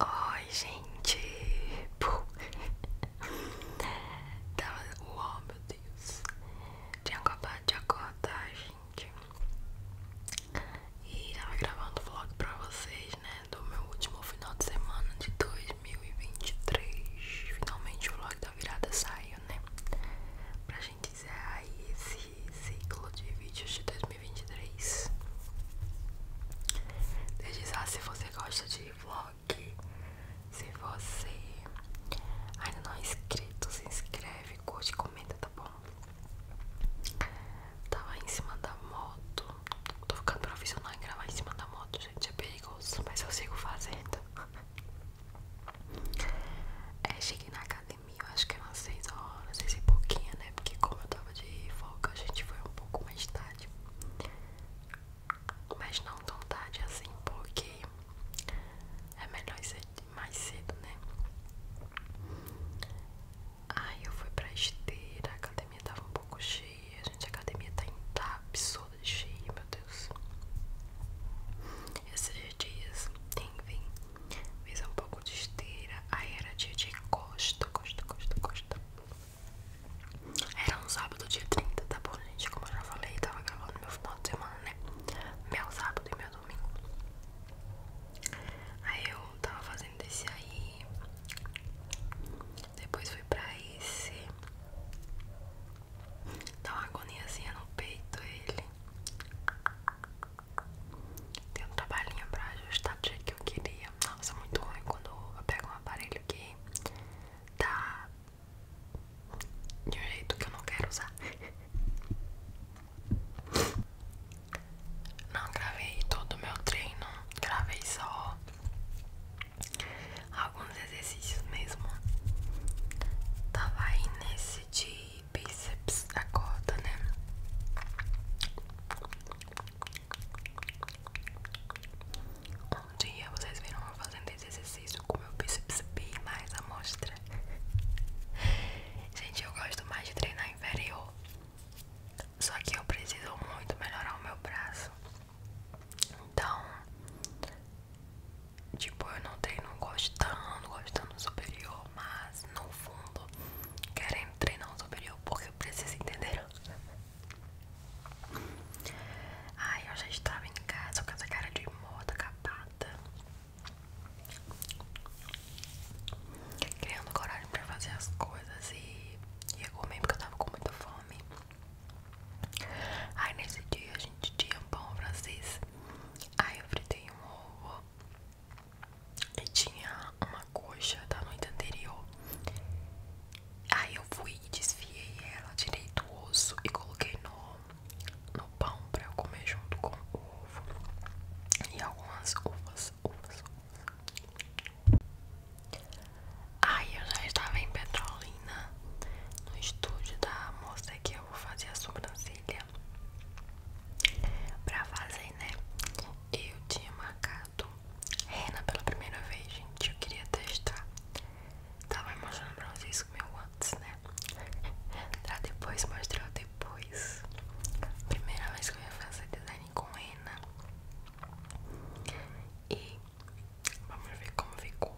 Oi, gente! Pum. Tava. Tá, uau, meu Deus! Tinha acabado de acordar, gente. E tava gravando vlog pra vocês, né? Do meu último final de semana de 2023. Finalmente o vlog da virada saiu, né? Pra gente encerrar esse ciclo de vídeos de 2023. Deixe já se você gosta de vlog, se você ainda não é inscrito, se inscreve, curte, comenta, tá bom? Tava tá em cima da moto, tô ficando profissional em gravar em cima da moto, gente, é perigoso, mas eu sigo fazendo. É, cheguei na academia academia, eu acho que eram 6 horas, 6 e pouquinha, né? Porque como eu tava de folga, a gente foi um pouco mais tarde. Mas não tão tarde assim, porque é melhor ser mais cedo, né? Aí eu fui pra esteira, a academia tava um pouco cheia, gente, a academia tá, absurda de cheia, meu Deus. Esses dias, tem vem fiz um pouco de esteira, aí era dia de costa, costa, costa, costa. Era um sábado dia 30, tá bom, gente? Como eu já falei, tava gravando meu final de semana, né? Meu sábado e meu domingo. Aí eu tava fazendo esse aí. Depois fui pra esse. Dá uma agoniazinha assim no peito ele. Deu um trabalhinho pra ajustar do jeito que eu queria. Nossa, é muito ruim quando eu pego um aparelho que tá de um jeito que eu não quero usar. Não gravei todo o meu treino, gravei só alguns exercícios mesmo. Tava aí nesse de bíceps, acorda, né? Um dia vocês viram eu fazendo esse exercício com meu bíceps bem mais à mostra. Gente, eu gosto mais de treinar inferior. Só que eu preciso muito melhorar o meu braço. Então, tipo, eu não treino gostando, gostando superior, mas no fundo querendo treinar um superior porque eu preciso entender. Ai, eu já estava em casa com essa cara de moda capada. Criando coragem para fazer as coisas e ia comer porque eu tava com muita fome. Aí nesse dia a gente tinha pão francês. Aí eu fritei um ovo e tinha uma coxa da noite anterior. Aí eu fui e desfiei ela, tirei do osso e coloquei no, no pão pra eu comer junto com o ovo e algumas uvas, uvas, uvas. Aí eu já estava em Petrolina, no estúdio da moça que eu vou fazer a sobrancelha pra fazer, né? eu tinha marcado Rena pela primeira vez, gente. Eu queria testar. Tava mostrando pra vocês o meu antes, né? Pra depois mostrar depois. Primeira vez que eu ia fazer design com Rena. E vamos ver como ficou.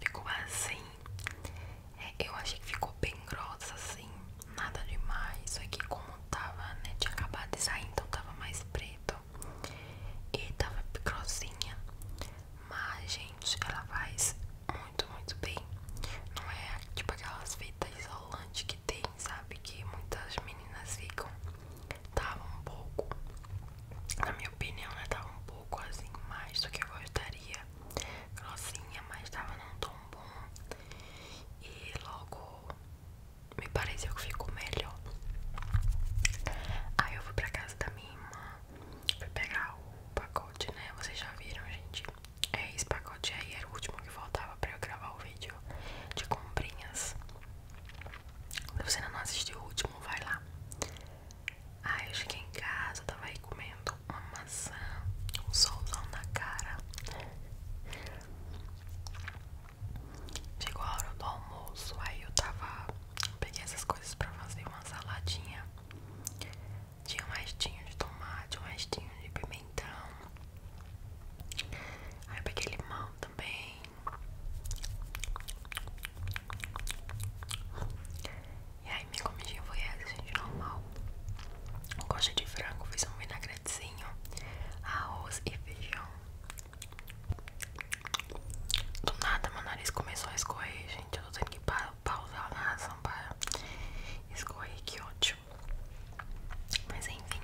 Ficou assim. É, eu achei que ficou bem grossa assim nada demais. só que como tava, né? Tinha acabado de sair, então tava mais preto. E tava grossinha. Mas, gente, ela faz muito, muito bem. Não é tipo aquelas fitas isolantes que tem, sabe? Que muitas meninas ficam. Tava um pouco, na minha opinião, né? Tava um pouco assim, mais do que eu gostaria. Grossinha, mas tava não tão bom. E logo me pareceu que ficou melhor. Aí eu fui pra casa da minha irmã, fui pegar o pacote, né? Vocês já viram, gente? É esse pacote aí, era o último que faltava pra eu gravar o vídeo de comprinhas. Se você ainda não assistiu o último, vai lá. Aí eu cheguei em casa, tava aí comendo uma um solzão na cara. Chegou a hora do almoço, aí eu tava. Peguei essas coisas pra fazer uma saladinha. Tinha um restinho de tomate, um restinho de pimentão. Aí peguei limão também. E aí minha comidinha foi essa, gente, normal. Gosto de frango, fiz um vinagrete sorvetezinho, arroz e feijão. Do nada meu nariz começou a escorrer, gente. Eu tô tendo que pa pausar a narração para escorrer, que ótimo. Mas enfim,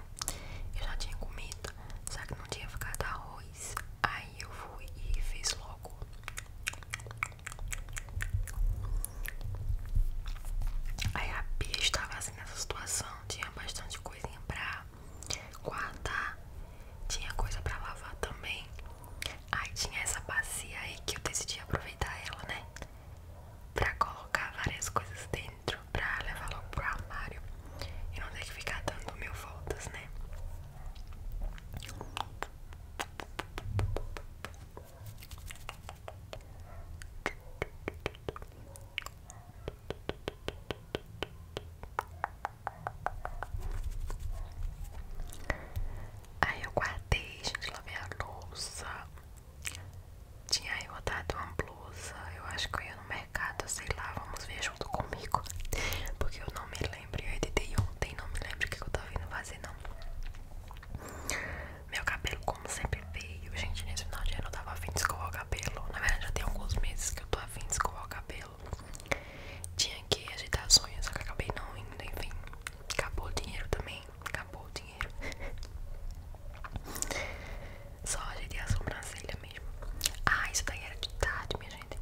eu já tinha comido, só que não tinha ficado arroz. Aí eu fui e fiz logo. Aí a pia estava Assim, nessa situação tinha bastante coisinha pra guardar, tinha coisa pra lavar também. Aí tinha essa bacia aí que eu decidi aproveitar ela, né? Pra colocar várias coisas dentro, pra levar logo pro armário e não ter que ficar dando mil voltas, né? Aí eu guardei, gente, lavei a louça. Tinha eu dado uma blusa. Eu acho que eu ia no mercado, sei lá, vamos ver junto comigo. Porque eu não me lembro. Eu editei ontem, não me lembro o que eu tava vindo fazer, não. Meu cabelo, como sempre veio, gente, nesse final de ano eu tava afim de escovar o cabelo. Na verdade, já tem alguns meses que eu tô afim de escovar o cabelo. Tinha que agitar as unhas, só que acabei não indo, enfim. Acabou o dinheiro também. Acabou o dinheiro. Só ajeitei a sobrancelha mesmo. Ah, isso daí era de tarde, minha gente.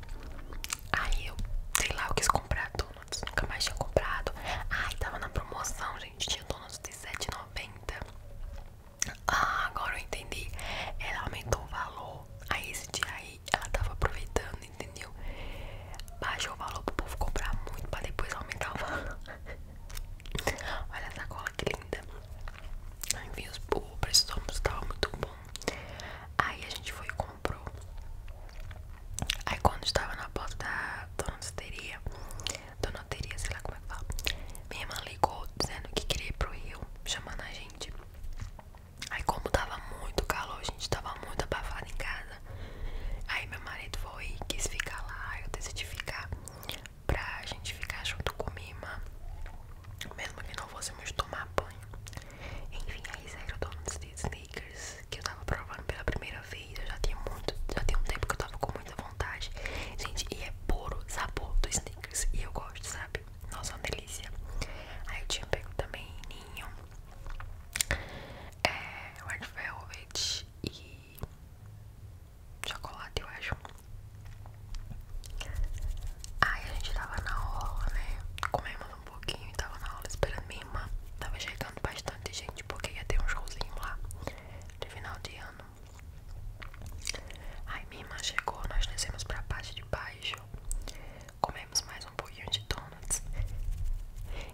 Aí eu, sei lá, eu quis comprar donuts. Nunca mais tinha comprado. Ai, tava na promoção, gente. Tinha donuts R$47,90. Ah, agora eu entendi. Ela aumentou o valor. Aí esse dia aí ela tava aproveitando, entendeu? Baixou o valor pro povo comprar muito pra depois aumentar o valor. Olha essa cola que linda. Enviou os, o preço do almoço tava muito bom. Aí a gente foi e comprou. Aí quando estava na porta da dona Cisteria, Dona Teria, sei lá como é que fala. Minha irmã ligou dizendo que queria ir pro Rio, chamando a gente. Aí, como tava muito calor, a gente tava muito abafado em casa. Aí, meu marido foi quis ficar lá. Eu decidi ficar pra gente ficar junto com minha irmã, mesmo que não fosse fôssemos tomar banho. Enfim, aí saíram donos de sneakers que eu tava provando pela primeira vez. Eu já tinha muito, já tinha um tempo que eu tava com muita Gente, e é puro sabor do sneakers E eu gosto, sabe? Nossa, é uma delícia. Aí eu tinha pego também ninho, é, red velvet e chocolate, eu acho. Aí a gente tava na aula, né? Comemos um pouquinho e tava na aula esperando minha Tava chegando bastante gente porque ia ter um showzinho lá de final de ano. Aí minha irmã chegou, nós descemos pra parte de baixo, comemos mais um pouquinho de donuts.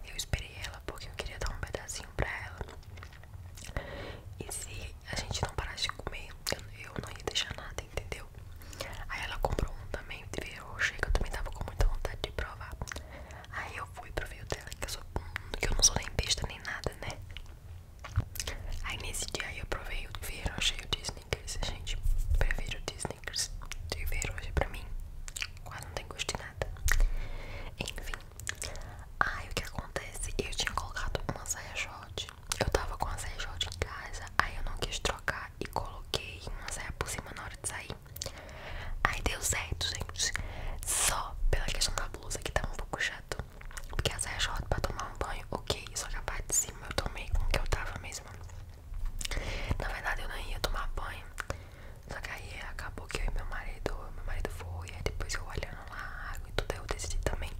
Eu esperei ela porque eu queria dar um pedacinho pra ela. E se a gente não parasse de comer, eu não ia deixar nada, entendeu? Aí ela comprou um também, teve achei que eu também tava com muita vontade de provar. Aí eu fui pro vídeo dela, que eu, hum, que eu não sou nem besta nem nada, né? Aí nesse dia eu provei o verão cheio de sneakers. Gente, prefiro de sneakers. De ver hoje pra mim quase não tem gosto de nada. Enfim. Aí o que acontece? Eu tinha colocado uma saia short. Eu tava com a saia short em casa. Aí eu não quis trocar e coloquei uma saia por cima na hora de sair. Aí deu certo, gente. Só pela questão da blusa que tava um pouco chato. Porque a saia short pra tomar um banho, ok. Só que a parte de cima eu tomei com o que eu tava mesmo. Na verdade eu não ia tomar banho. Só que aí acabou que eu e meu marido, meu marido foi, depois eu olhando lá água e tudo, eu decidi também.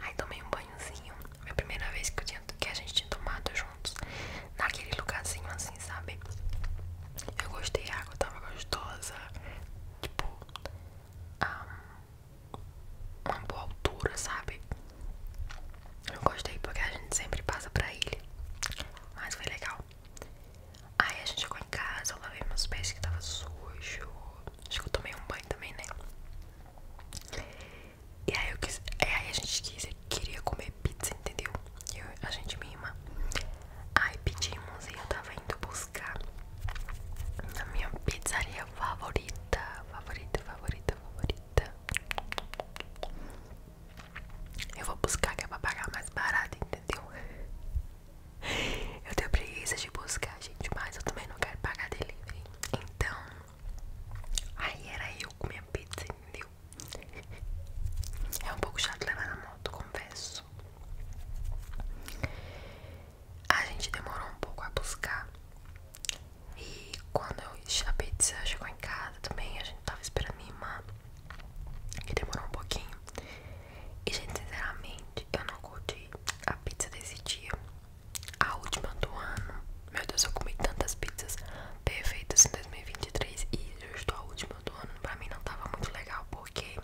Aí tomei um banhozinho. Foi a primeira vez que, que a gente tinha tomado juntos. Naquele lugarzinho assim, sabe? Eu gostei, a água tava gostosa. Tipo, um, uma boa altura, sabe? Eu gostei porque a gente sempre passa pra ele Mas foi legal. Aí a gente chegou em casa, eu lavei meus pés que tava sujo. Acho que eu tomei um banho também, né? E aí eu quis. Aí a gente quis, queria comer pizza, entendeu? Eu, a gente e minha Ai, pedimos e eu tava indo buscar a minha pizzaria favorita, favorita, favorita, favorita. Eu vou buscar que é pra pagar mais barato, entendeu? Eu tenho preguiça de buscar, gente, mas eu também não quero pagar de delivery. Então, aí era eu com minha pizza, entendeu? É um pouco chato levar na moto, confesso a gente demorou um pouco a buscar. E quando eu, a pizza chegou em casa também, a gente tava esperando minha irmã, que demorou um pouquinho. E, gente, sinceramente, eu não curti a pizza desse dia. A última do ano. Meu Deus, eu comi tantas pizzas perfeitas em 2023 e justo a última do ano pra mim não tava muito legal porque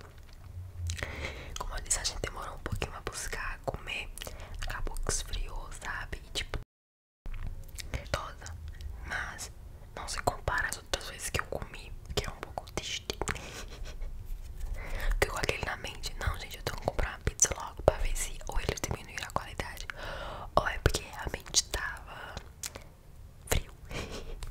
como eu disse, a gente demorou um pouquinho a buscar comer. Acabou que esfriou, sabe? tipo, toda. Mas não se compara às outras vezes que eu comi, que é um pouco triste. Ficou aquele na mente. Não, gente, eu tenho que comprar uma pizza logo pra ver se ou eles diminuíram a qualidade. Ou é porque a mente tava frio.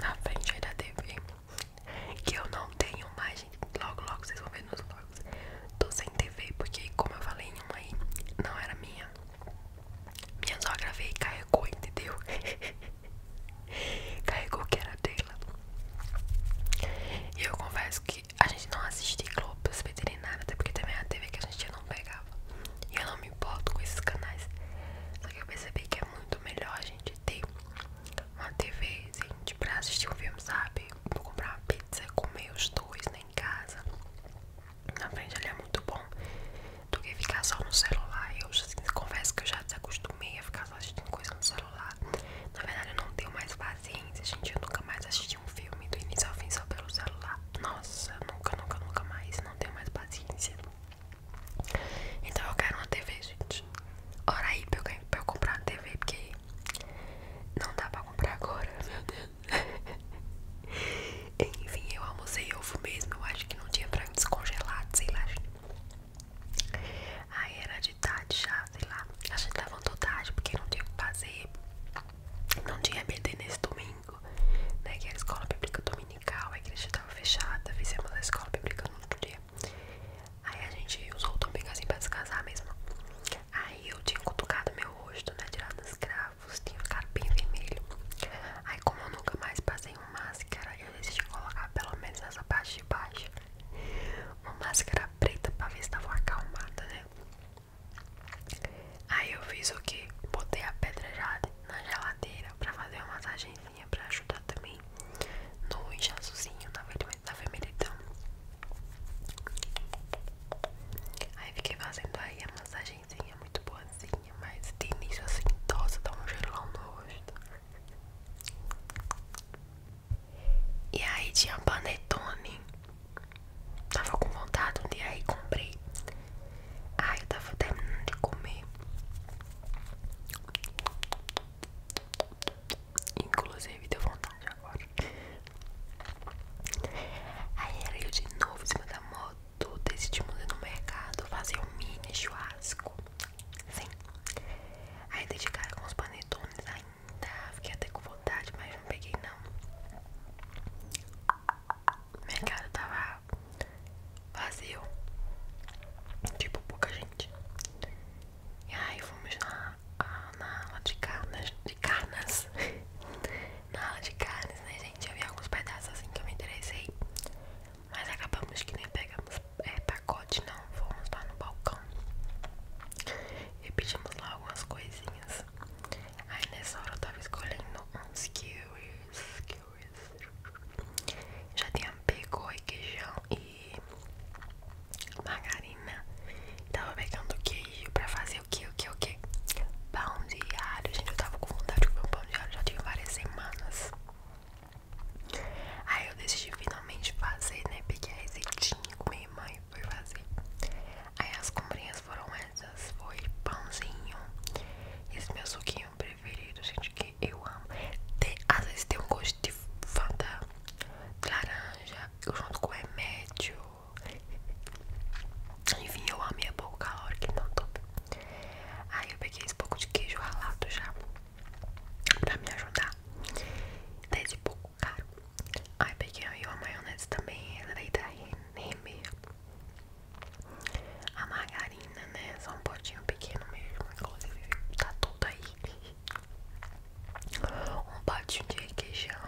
na frente aí da TV. Que eu não tenho mais, Logo, logo vocês vão ver nos vlogs. Tô sem TV porque, como eu falei em uma aí, não era minha. Minha só gravei e carregou, entendeu? carregou que era dela. E eu confesso que a gente não assiste Globo Globos Veterinários, até porque também é a TV que a gente não pegava. E eu não me importo com esses canais. Só que eu percebi que é muito melhor a gente ter uma TV, gente, pra assistir um filme, sabe? Vou comprar uma pizza, comer os dois, né, em casa. Na frente ele é muito bom do que ficar só no celular. Eu assim, confesso que eu já desacostumei a ficar só assistindo coisa no celular. Na verdade, eu não tenho mais paciência, gente. Eu nunca mais assisti um filme do início ao fim só pelo celular. Nossa, nunca, nunca, nunca mais. Não tenho mais paciência. Então eu quero uma TV, gente. hora aí pra eu, comprar uma TV, porque não dá pra comprar agora, meu Deus. Enfim, eu almocei ovo mesmo. Eu acho que não tinha pra descongelado sei lá, gente. Aí era de tarde já, sei lá. A gente levantou tarde porque não tinha o que fazer. Não tinha BD nesse domingo, né? Que era a escola bíblica dominical, a igreja fechada, fizemos a escola pública no dia. Aí a gente usou o domingo assim pra descansar mesmo. Aí eu tinha cutucado meu rosto, né? Tirado os cravos, tinha ficado bem vermelho. Aí, como eu nunca mais passei uma máscara, eu decidi colocar pelo menos nessa parte de baixo uma máscara preta pra ver se tava acalmada, né? Aí eu fiz o que? Botei a pedrejada na geladeira pra fazer uma massagem pra ajudar também no inchaçozinho, na, vermelhidão. Aí fiquei fazendo aí a massagenzinha muito boazinha, mas de início assim, tosa dá tá um gelão no rosto. E aí tinha panetone. Tava com vontade um dia aí, comprei. Aí eu tava terminando de comer. Inclusive deu vontade agora. Aí era eu de novo em cima da moto. Decidimos ir no mercado fazer um mini chuásco. Sim. Aí dei de cara com os panetones ainda. Fiquei até com vontade, mas não peguei não. Mercado tava vazio. Tipo, pouca gente. E aí fomos ah, na, na aula de carnes. De carnes. na aula de carnes, né, gente? Eu vi alguns pedaços assim que eu me interessei. Mas acabamos que nem pegamos é, pacote, não. Fomos lá no balcão. E pedimos lá algumas coisinhas. Aí nessa hora eu tava escolhendo uns kiwis. Que Paris. Já tinha pego requeijão e margarina. Tava pegando queijo pra fazer o que, o que, o que? Pão de alho. Gente, eu tava com vontade de comer um pão de alho já tinha várias semanas. Aí eu decidi finalmente fazer, né? Peguei a receitinha com minha irmã e fazer. Aí as comprinhas foram essas: foi pãozinho, esse meu suquinho preferido, gente, que eu amo. Tem, às vezes tem um gosto de fanta laranja, junto com remédio. Enfim, eu amo minha pouco calórica, não tô. Aí eu peguei esse pouco de queijo ralado já pra me ajudar. Dez tá e pouco caro. Aí peguei aí uma maionese também, ela daí da tá Reneme. A margarina ainda, né? Só um potinho pequeno mesmo, inclusive tá tudo aí. Um potinho de requeijão.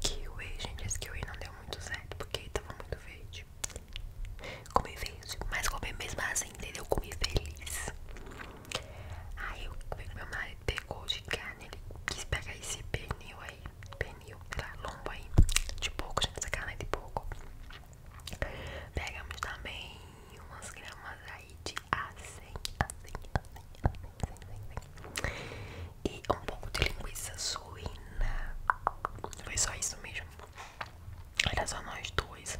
Kiwi, gente, esse kiwi não deu muito certo porque tava muito verde. Comi verde, mas comi mesmo assim, entendeu? Comi feliz. Aí eu, meu marido pegou de carne, ele quis pegar esse pernil aí, pernil, sei tá, lá, aí, de pouco, gente, essa carne é de pouco. Pegamos também umas gramas aí de azeite acém, acém, E um pouco de linguiça suína. Foi só isso mesmo. Era só nós dois.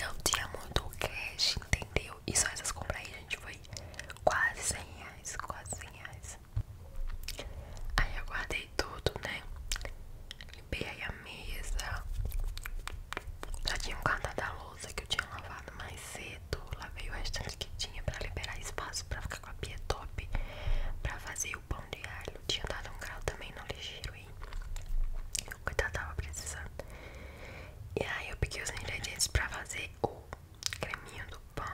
Não tinha muito cash, entendeu? E só essas compras aí, gente, foi quase 100 reais, quase 100 reais. Aí eu guardei tudo, né? limpei a mesa. Já tinha um canto da louça que eu tinha lavado mais cedo. Lavei o restante que tinha pra liberar espaço pra ficar com a pia top. Pra fazer o pão de alho. Tinha dado um grau também no ligeiro e o coitado tava precisando. E aí eu peguei os ingredientes pra fazer o creminho do pão.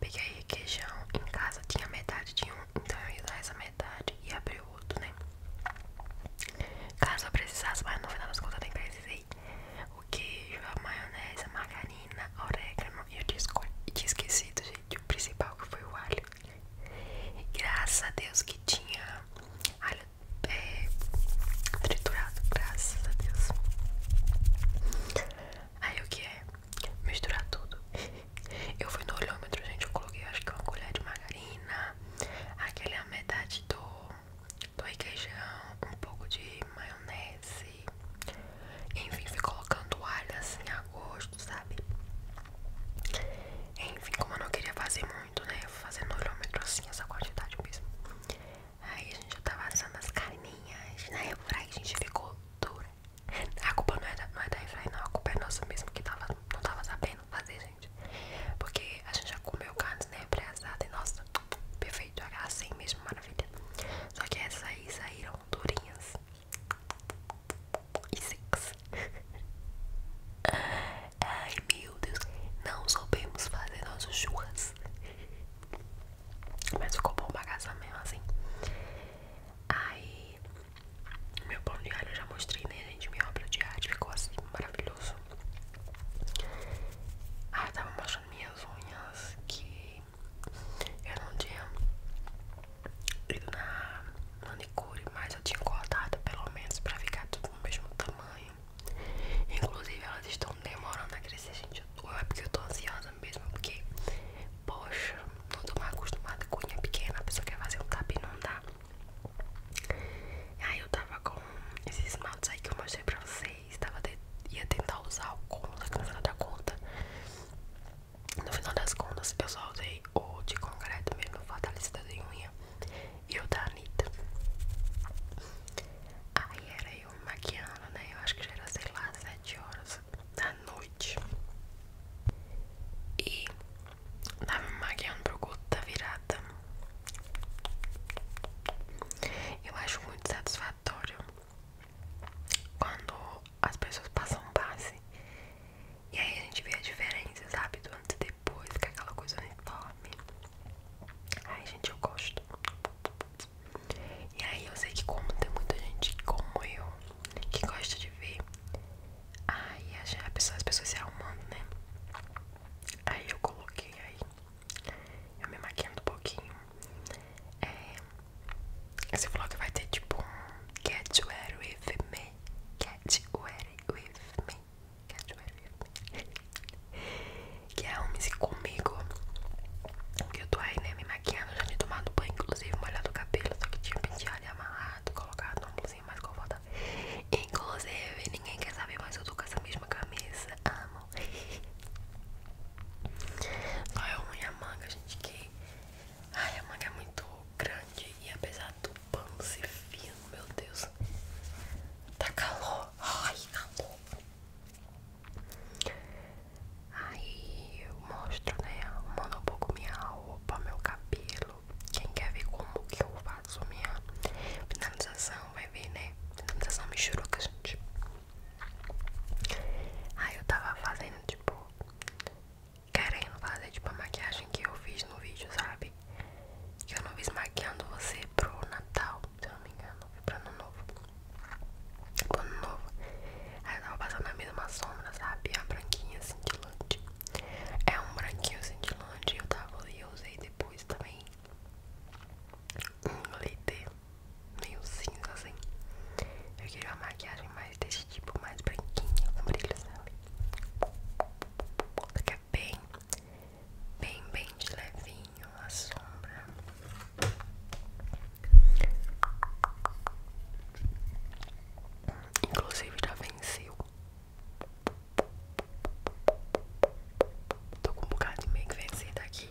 Peguei requeijão. Em casa tinha metade de um, então eu ia dar essa metade e abri o né? Caso eu precisasse, mais no final das contas eu nem precisei. O queijo, a maionese, a margarina, orégano e eu tinha, esquecido, gente, o principal que foi o alho. Graças a Deus que tinha alho é, triturado, graças a Deus. Aí o que é? Misturar tudo. Eu fui no olhômetro, gente. Eu coloquei acho que uma colher de margarina, aquele a metade do, do requeijão, um pouco de maionese. Enfim, fui colocando alho assim a gosto, sabe? Enfim, como eu não queria fazer muito, né? Eu fui fazendo olhômetro assim, essa quantidade mesmo. Aí gente já tava assando as carninhas, né? Por a gente ficou dura. A culpa não é da, não é da Efraim, não. A culpa é nossa mesmo que tava não tava sabendo fazer, gente. Porque a gente já comeu carne, né? Prezada e nossa, perfeito. Assim mesmo, maravilha. Só que essas aí saíram durinhas e secas. Ai meu Deus, não soubemos fazer nossas churras. Mas ficou bom casa mesmo assim. Aí meu pão de alho eu já mostrei, né, gente? Minha obra de arte ficou assim, maravilhoso. Ah, tava mostrando minhas unhas que eu não tinha ido na manicure, mas eu tinha cortado pelo menos pra ficar tudo do mesmo tamanho. Inclusive, elas estão demorando a crescer, gente. Ou é porque eu tô ansiosa mesmo, porque, poxa, não tô mais acostumada com unha pequena, a pessoa quer fazer um cabinho, não dá. Tá? Aí eu tava com esses esmaltes aí que eu mostrei pra vocês. Tava ia tentar usar o só que no final da conta. No final das contas, eu só usei o de concreto mesmo, o fortalecedor de unha. E o da Anitta. Aí era eu maquiando, né? Eu acho que já era, sei lá, 7 horas da noite. E Tava me maquiando pro culto da virada. Eu acho muito satisfatório quando as pessoas passam base e aí a gente vê a diferença, sabe? Do antes e depois, que aquela coisa uniforme. Ai, gente, eu gosto. E aí eu sei que como tem muita gente como eu que gosta de ver Aí a pessoa, as pessoas se arrumando, né? Aí eu coloquei aí, eu me maquiando um pouquinho. É, você falou vai ter tipo um get wear with me. catch wear with me. catch wear with me. que é um se comigo. Porque eu tô aí, né? Me maquiando, já tinha tomado banho, inclusive molhado o cabelo, só que tinha um penteado e amarrado, colocado no mais confortável. Inclusive, ninguém quer saber, mas eu tô com essa mesma camisa. Amo. Só é ruim a manga, gente, que. Ai, a manga é muito grande e apesar do pano ser fino, meu Deus. Tá calor. Ai, calor. Aí eu mostro, né? Mando um pouco minha roupa, meu cabelo. Quem quer ver como que eu faço minha finalização, vai ver, né? Finalização a gente. Aí eu tava fazendo, tipo, querendo fazer, tipo, a maquiagem que eu fiz no vídeo, sabe? Que eu não fiz maquiando você pro Natal, se eu não me engano, foi pro Ano Novo. Ano Novo. Aí eu tava passando a mesma sombra, sabe? A branquinha cintilante. Assim, é um branquinho cintilante. Assim eu tava ali, eu usei depois também um glitter meio cinza assim. Eu queria uma maquiagem mais desse tipo, mais branquinha, com brilho, sabe? Porque é bem, bem, bem de levinho a sombra. Inclusive já venceu Tô com um bocado de meio que vencida aqui.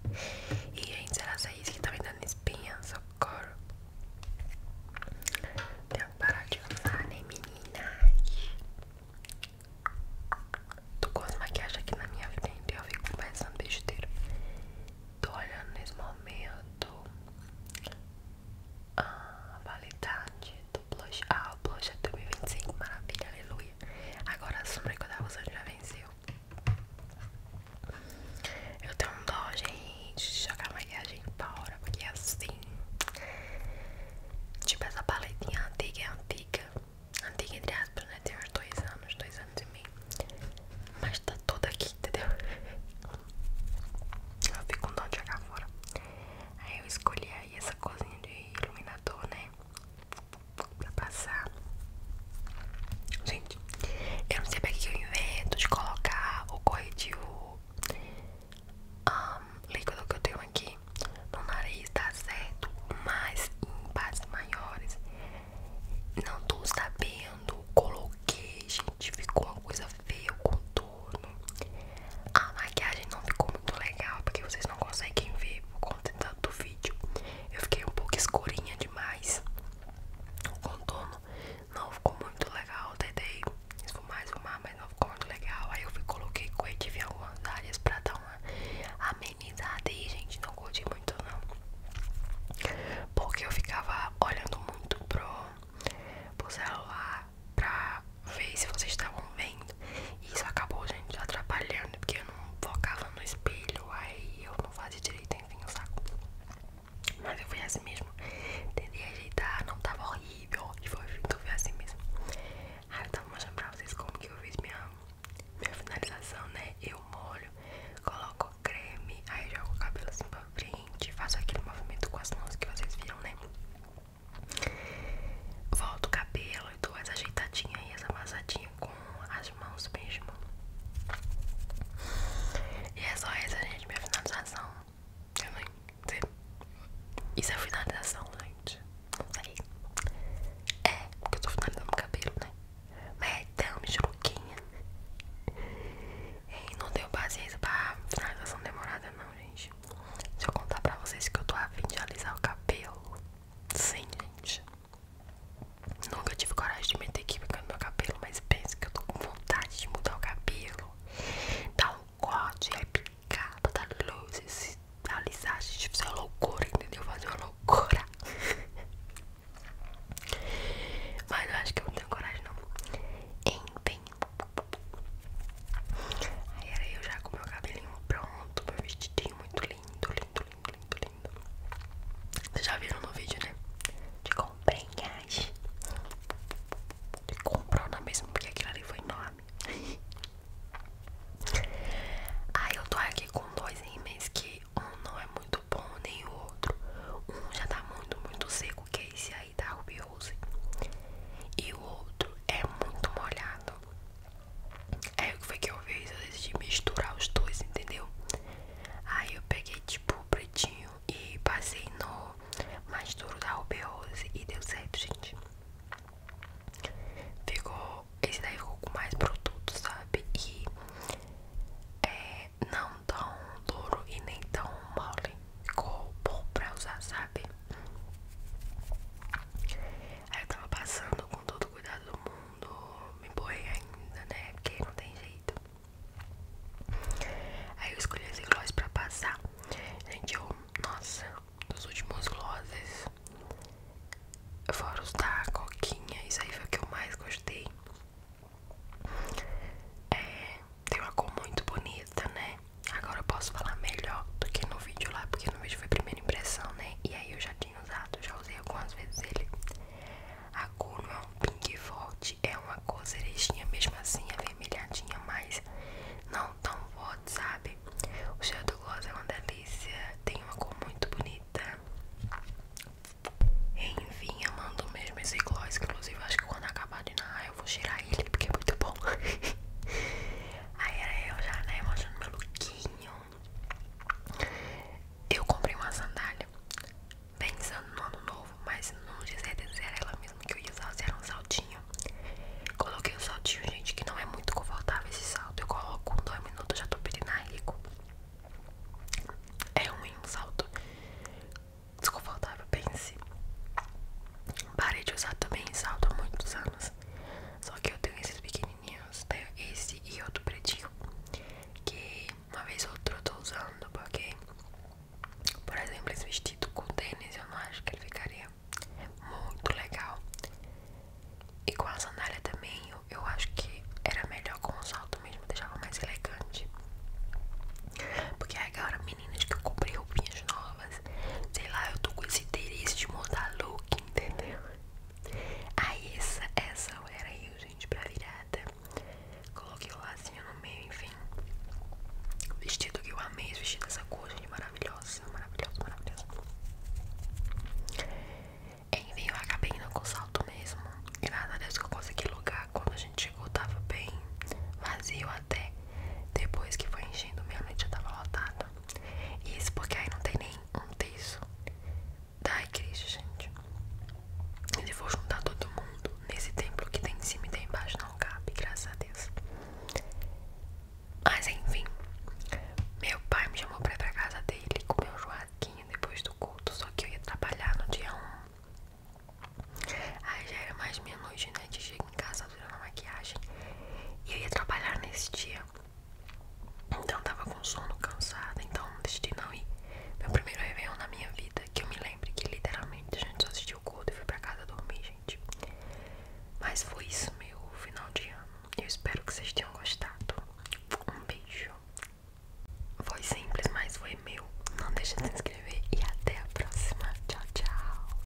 e gente, será que é isso que tá me dando espinha? Socorro. Tenho que parar de usar, né, meninas? Tô com as maquiagens aqui na minha frente e eu fico pensando besteira. Tô olhando nesse momento a ah, validade do blush. Ah, o blush é 2025, maravilha, aleluia. Agora a sombra que eu tava usando já venceu. Eu tenho um dó, gente, de jogar maquiagem maquiagem fora, porque assim. Tipo, essa paletinha antiga é antiga. Antiga entre aspas, né? Tem uns dois anos, dois anos e meio. Mas tá toda aqui, entendeu? Eu fico com dó de jogar fora. Aí eu escolhi aí essa cozinha de iluminador, né? Pra passar. Gente, eu não sei pra que eu invento de colocar o corretivo um, líquido que eu tenho aqui no nariz, tá certo? Mas em partes maiores, não tô sabendo. Coloquei, gente, ficou uma coisa feia. com Eu a maquiagem não ficou muito legal, porque vocês não conseguem ver por conta do vídeo. Eu fiquei um pouco escurinha demais. O contorno não ficou muito legal. Eu tentei esfumar, esfumar, mas não ficou muito legal. Aí eu fui, coloquei coetivo em algumas áreas pra dar uma amenizada. E, gente, não curti muito, não. Porque eu ficava olhando muito pro celular pra ver se vocês estavam vendo. E isso acabou, gente, atrapalhando, porque eu não focava no espelho, aí eu não fazia direito, enfim, o saco. Mas eu fui assim mesmo. Tentei ajeitar, não tava horrível, e então foi assim mesmo. Aí eu tava mostrando pra vocês como que eu fiz minha, minha finalização, né? Eu molho, coloco creme, aí jogo o cabelo assim pra frente, faço aquele movimento com as mãos que vocês viram, né? Volto o cabelo e dou as ajeitadinha e as amassadinhas com as mãos mesmo. E é só essa, gente, minha finalização. Eu nem Isso é finalização, gente. É, porque eu tô finalizando o cabelo, né? Mas é tão michuruquinha. não deu paciência pra finalização demorada, não, gente gente. Deixa eu contar pra vocês que eu tô afim de alisar o cabelo. Sim, gente. Nunca tive coragem de meter química no meu cabelo, mas penso que eu tô com vontade de mudar o cabelo. Dar tá um corte, repicar, é botar tá luzes, alisar, gente. Fazer uma é loucura, entendeu? Fazer uma loucura. Mas eu acho que eu não tenho coragem, não. Enfim, Aí era eu já com meu cabelinho pronto, meu vestidinho muito lindo, lindo, lindo, lindo, lindo. Vocês já viram no vídeo, né? De comprei, acho. De comprou na mesma, porque aquilo ali foi enorme. Aí eu tô aqui com dois rímel que um não é muito bom, nem o outro. Um já tá muito, muito seco, que é esse aí da rubiose E o outro é muito molhado. Aí é o que que eu fiz? Eu decidi misturar os dois, entendeu? Aí eu peguei tipo o pretinho e passei no mais duro da rubiose e deu certo, gente. Ficou. Esse daí um pouco mais produto, sabe? E é não tão duro e nem tão mole ficou bom pra usar, sabe? Aí eu tava passando com todo o cuidado do mundo, me borrei ainda, né? Porque não tem jeito. Aí eu escolhi esse gloss pra passar. Gente, eu, nossa, dos últimos glosses, fora os da coquinha, isso aí foi o que eu mais gostei. É, tem uma cor muito bonita, né? Agora eu posso falar melhor do que no vídeo lá, porque no vídeo foi primeira impressão, né? E aí eu já tinha usado, já usei algumas vezes ele. A cor não é um pink forte, é uma cor cerejinha mesmo assim, avermelhadinha, mas não tão forte, sabe? O cheiro do gloss é uma delícia, tem uma cor muito bonita. Enfim, eu mando mesmo esse gloss, inclusive acho que quando acabar de na ah, eu vou girar ele porque é muito bom. Aí era eu já, né, mostrando meu lookinho. Eu comprei uma sandália pensando no ano novo, mas não dizer dizer ela mesmo que eu ia usar, era um saltinho. Coloquei o saltinho, gente, que não é muito confortável esse salto. Eu coloco um, dois minutos, já tô pedindo a rico. É ruim um salto desconfortável, pense. Parei de usar também salto há muitos anos. Só que eu tenho esses pequenininhos, tenho esse e outro pretinho. Que uma vez ou outra eu tô usando, porque, por exemplo, esse vestido com tênis eu não acho que ele ficaria muito legal. E com a sandália também, eu, eu acho que era melhor com o salto mesmo, deixava mais elegante. Porque agora, meninas que eu comprei roupinhas novas Sei lá, eu tô com esse interesse de mudar look, entendeu? Aí essa, essa era eu, gente, pra virada. Coloquei o lazinho no meio, enfim. Vestido que eu amei, esse vestido dessa cor, gente, maravilhosa, maravilhosa, maravilhosa. Enfim, eu acabei indo com salto mesmo. Graças a Deus que eu consegui lugar. Quando a gente chegou, tava bem vazio até depois que foi enchendo, meia-noite já tava lotado. Isso porque aí não tem nem um terço da Cristo gente. Se for juntar todo mundo nesse templo que tem em cima e tem embaixo, não cabe, graças a Deus. Mas enfim, meu pai me chamou pra ir pra casa dele, comer um joaquinho depois do culto, só que eu ia trabalhar no dia 1. Aí já era mais meia-noite, né? De em casa durou uma maquiagem e eu ia trabalhar nesse dia. Então tava com sono cansada, então decidi não ir. Meu primeiro evento na minha vida, que eu me lembro que literalmente a gente só assistiu o culto e foi pra casa dormir, gente. Mas foi isso, meu final de ano. Eu espero que vocês tenham gostado. Um beijo. Foi simples, mas foi meu. Não deixa de se inscrever e até a próxima. Tchau, tchau.